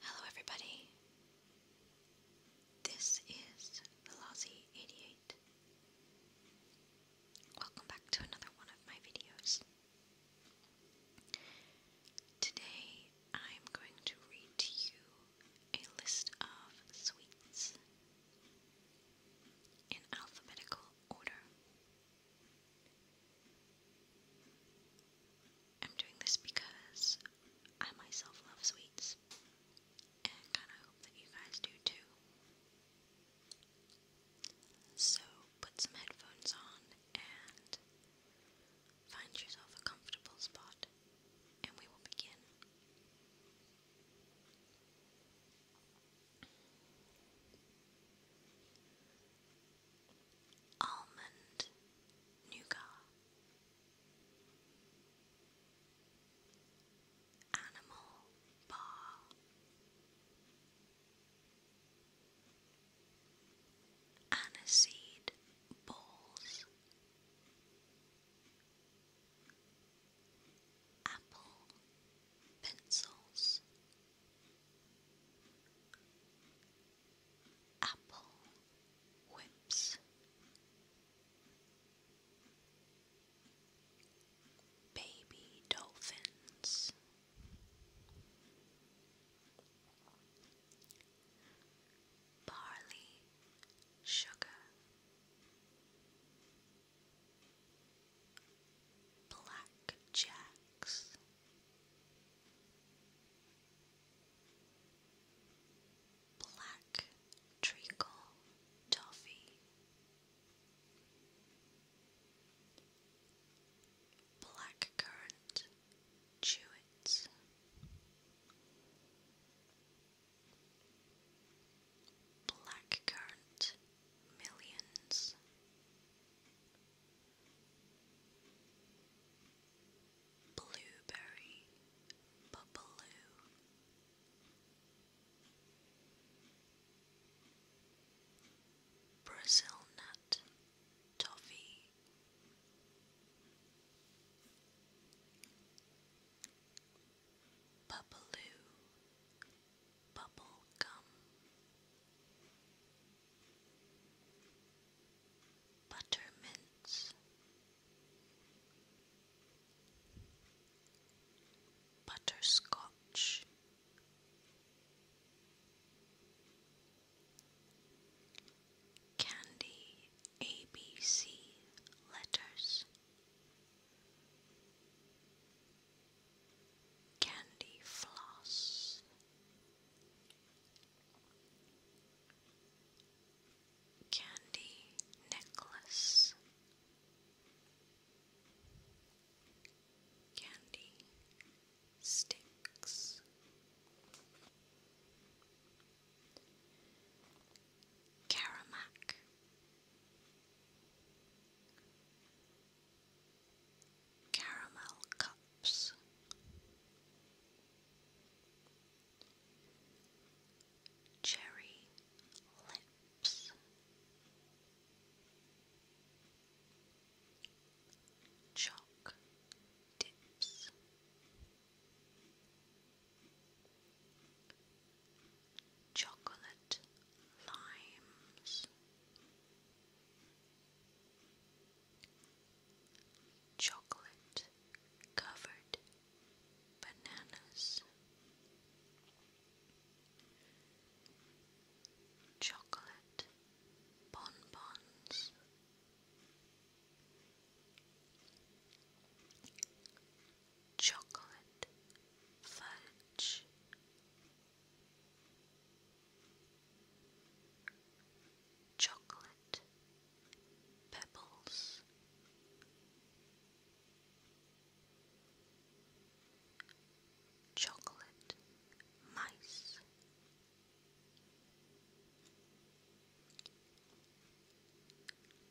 Hello, everybody. This is Velozzy 88. Welcome back to another one of my videos. Today I'm going to read to you a list of sweets in alphabetical order. I'm doing this because I myself love sweets and kind of hope that you guys do too. So put some headphones on and Find yourself a comfortable spot, and we will begin. Almond nougat. Animal bar. Aniseed balls apple pencils, apple whips, baby dolphins barley sugar black jacks black treacle toffee blackcurrant chewits Blackcurrant Millions. Blueberry Bubaloo Brazil Nut Toffee Bubbaloo Bubble Gum Buttermints Butterscotch Candy ABC letters. Candy floss. Candy necklace. Candy sticks. Karamak Caramel Cups Cherry Lips Chalk Dips Chocolate limes, chocolate covered bananas, chocolate bonbons chocolate fudge chocolate pebbles chocolate mice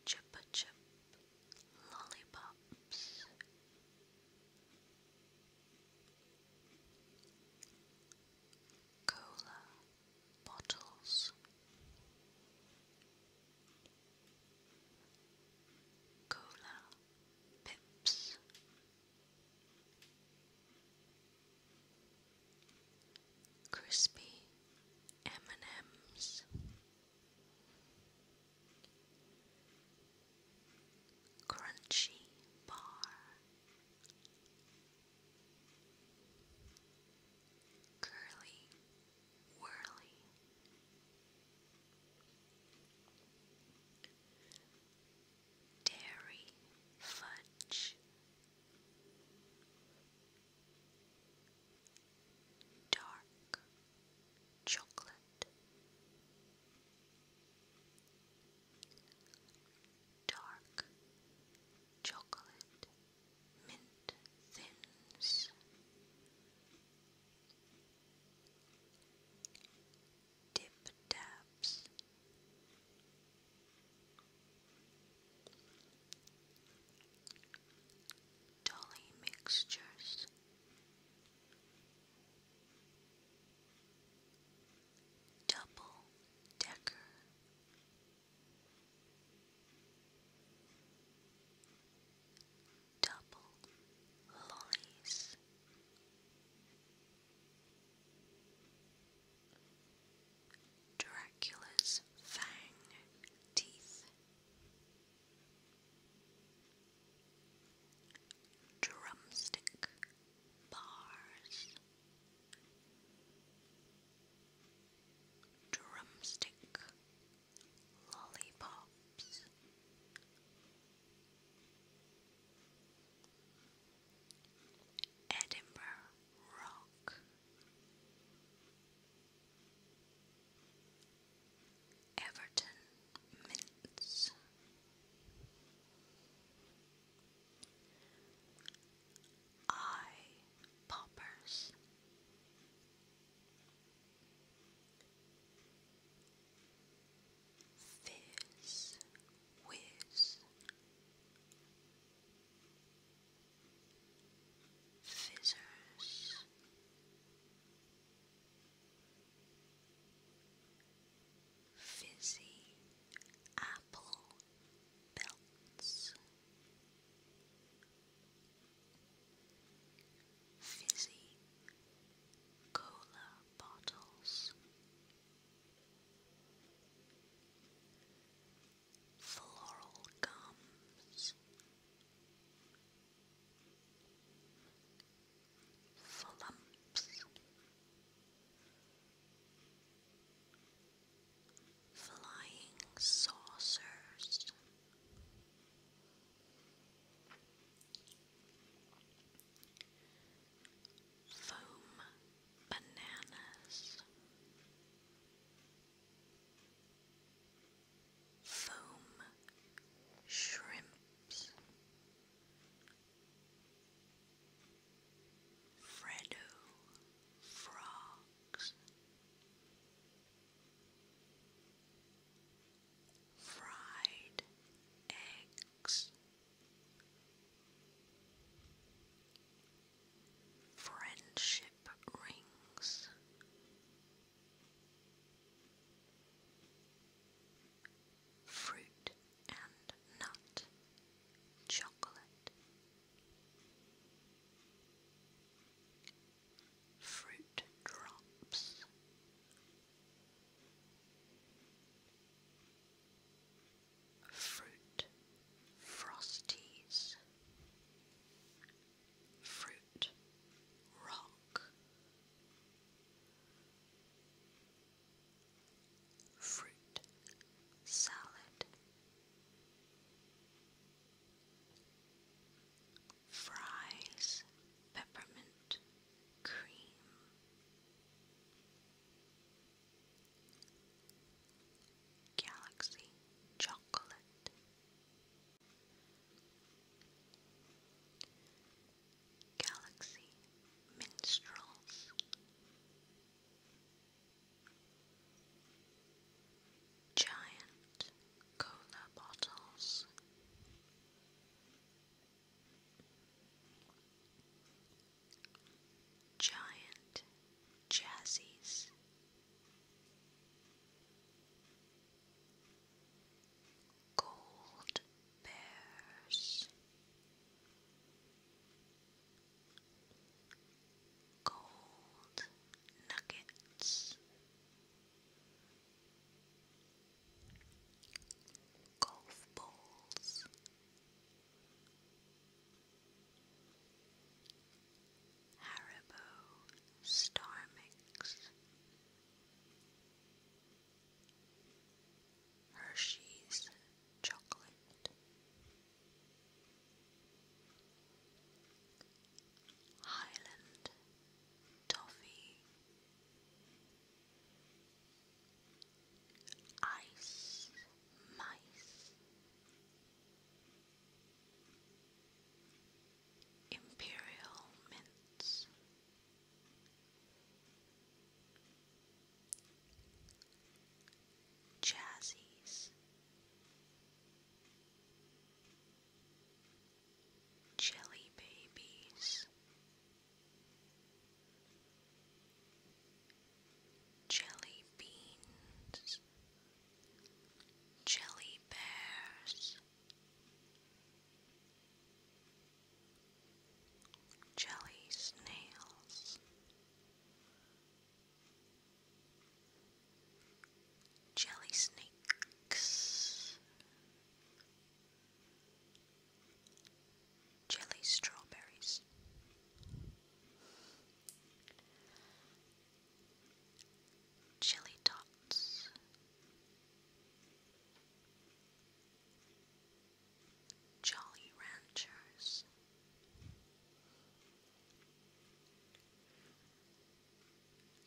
Chupa Chup Lollipops. Cola bottles, cola pips, crispy M&Ms crunchy bar curly whirly dairy fudge dark chocolate, dark chocolate, mint thins. Dip dabs, Dolly Mixtures. Double Decker Double Lollies Dracula's fang teeth. Drumstick bars. Drumstick lollipops. Edinburgh Rock Everton Mints. Eye poppers. Fizz whiz Fizzers. Fizzy apple belts. Fizzy cola bottles floral gums, flumps, flying saucers. Foam bananas, foam shrimps, Freddo frogs, fried eggs. Friendship rings. Fruit and nut. Chocolate. Fruit drops. Fruit frosties fruit, rock, fruit, salad, fries, peppermint, cream. Galaxy Chocolate Galaxy Minstrels Giant Cola Bottles Giant Jazzies Gold bears, gold nuggets, golf balls. Haribo Star Mix, Hershey's Chocolate, Highland Toffee, Ice Mice. Imperial mints, chassis, jelly babies, jelly beans. Jelly bears, jelly snails, jelly snakes, jelly strawberries chili dots, Jolly Ranchers.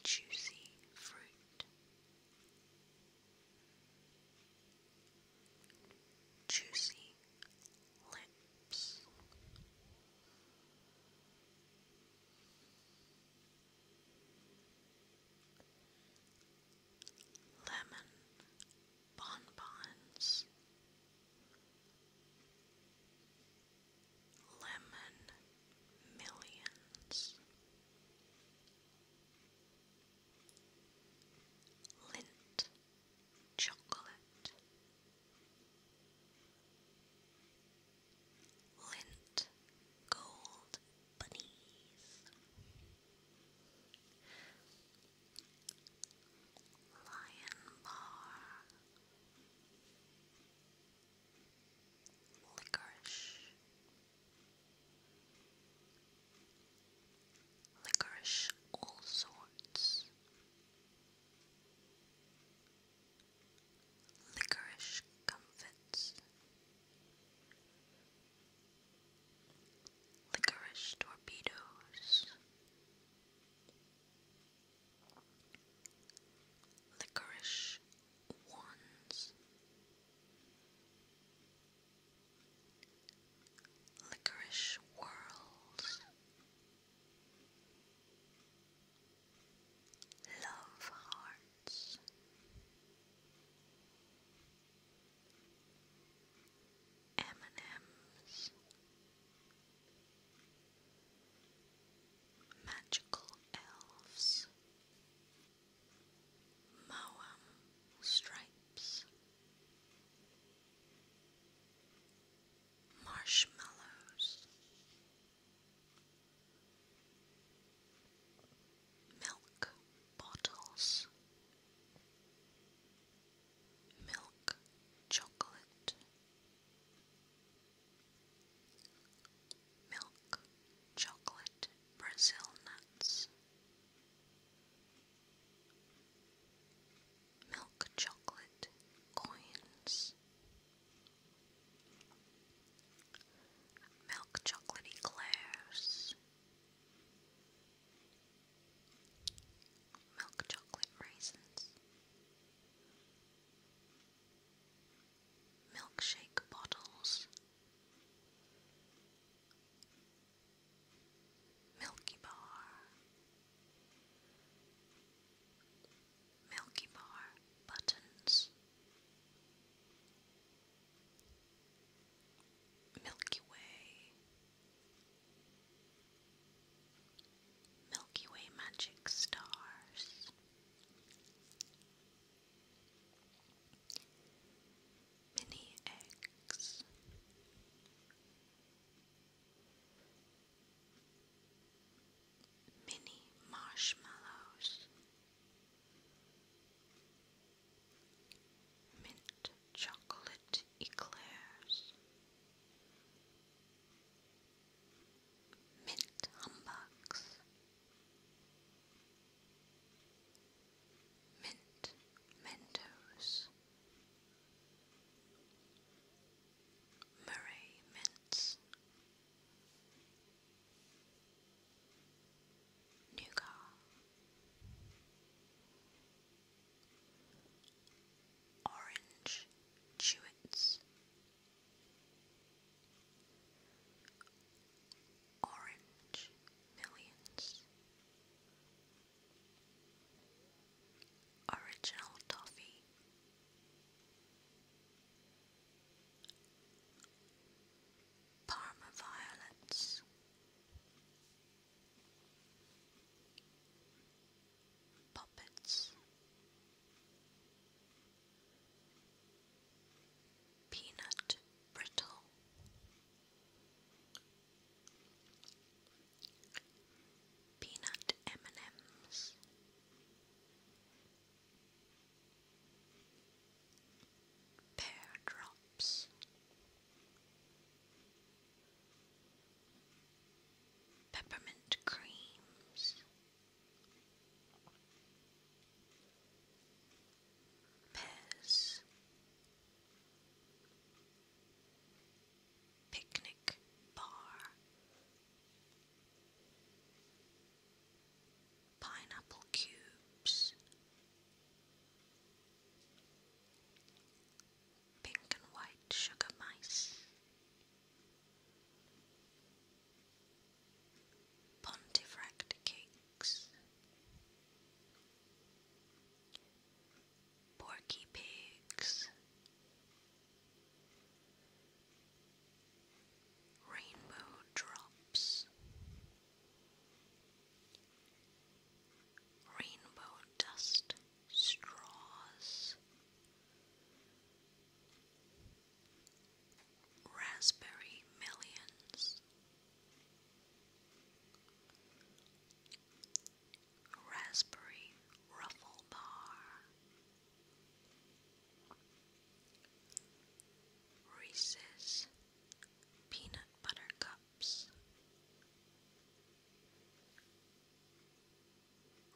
Juicy fruit, juicy lip, lemon bonbons, lemon millions, lint chocolate. Lint gold bunnies. Lion bar. Licorice. Licorice all sorts. Licorice comfits. Licorice torpedoes. Licorice wands. Licorice whirls love hearts. M&M's Magical Elves Moam Stripes marshmallows, milk bottles, milk chocolate, milk chocolate Brazil nuts milk chocolate coins. Milk chocolate eclairs, milk chocolate raisins, milkshake bottles, Milky Bar, Milky Bar buttons, Milky Way, Milky Way magic stars, mini eggs mini marshmallows, mint chocolate eclairs, mint humbugs, mint mentos. Murray Mints, Nougat, Orange Chewits, Orange Millions. Original toffee. Parma violets. Puppets. Peanut brittle peanut M&Ms pear drops peppermint creams pears picnic bar pineapple cubes, pink and white sugar mice, Pontifract cakes, porky pigs, Rainbow drops, rainbow dust straws, raspberry millions, raspberry ruffle bar. Reese's Peanut Butter Cups,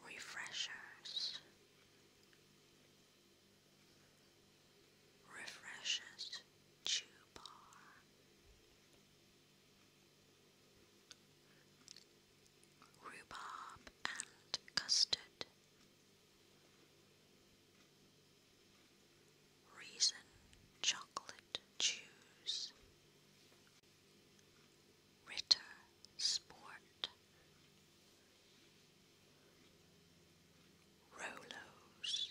Refreshers, Refreshers Chew Bar rhubarb and custard. Reason chocolate chews. Ritter sport. Rolos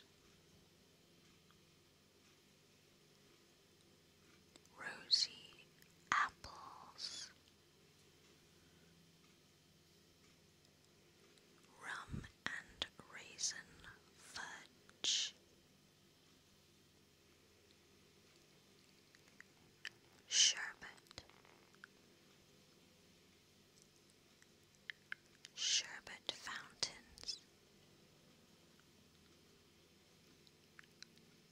rosy apples, rum and raisin fudge, sherbet, sherbet fountains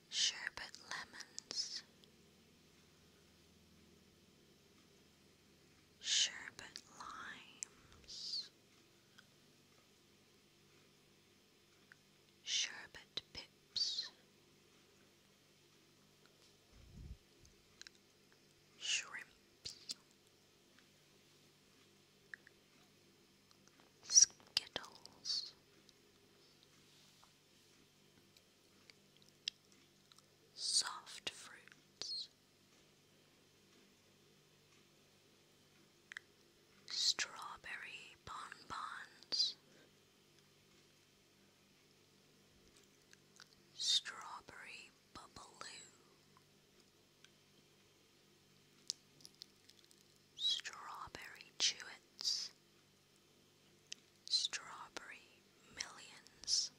sherbet lemons, sherbet limes, sherbet pips, shrimps. Skittles, soft fruits, strawberry bonbons, strawberry bubbaloo, strawberry chewits. Strawberry Millions.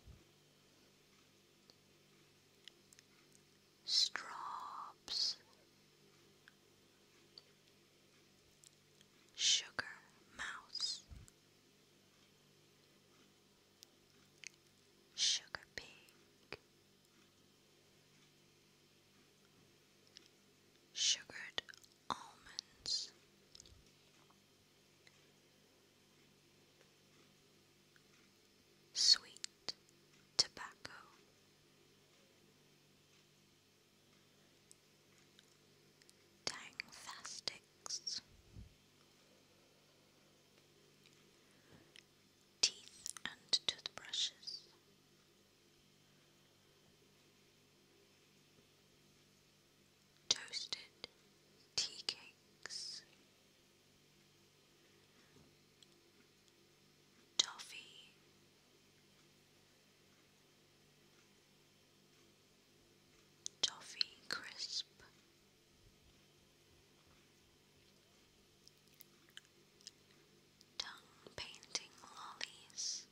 Straws. Sugar Mouse. Sugar Pig. Sugared almonds. Sweet tobacco, tang fastics, teeth and toothbrushes, Toasted tea cakes, toffee, toffee crisp tongue painting lollies.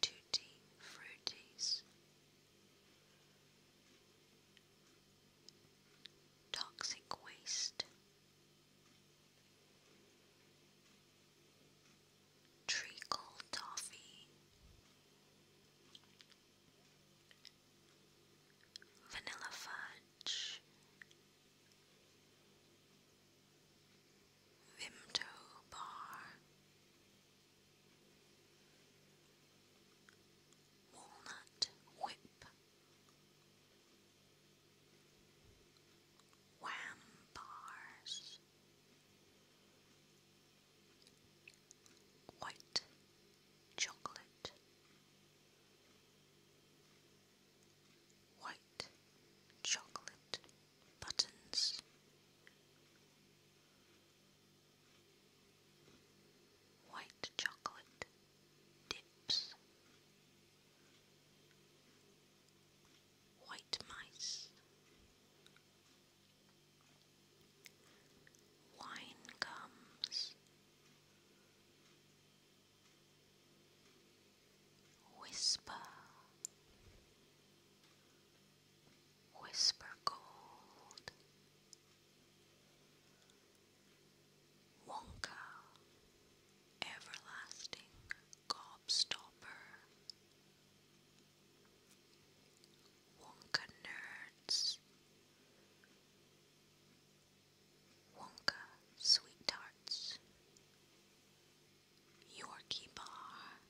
Tutti Fruities Toxic Waste Treacle Toffee Vanilla Fudge Vimto Bar Walnut Whip Wham Bars White Chocolate white chocolate buttons. White chocolate dips, white mice, wine gums, Whisper, whisper gold, Wonka, everlasting gobstopper, Wonka nerds. Wonka Sweet Tarts, Yorkie Bar.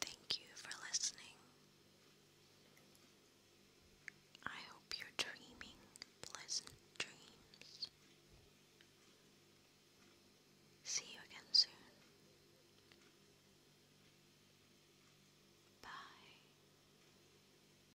Thank you for listening. I hope you're dreaming pleasant dreams. See you again soon. Bye.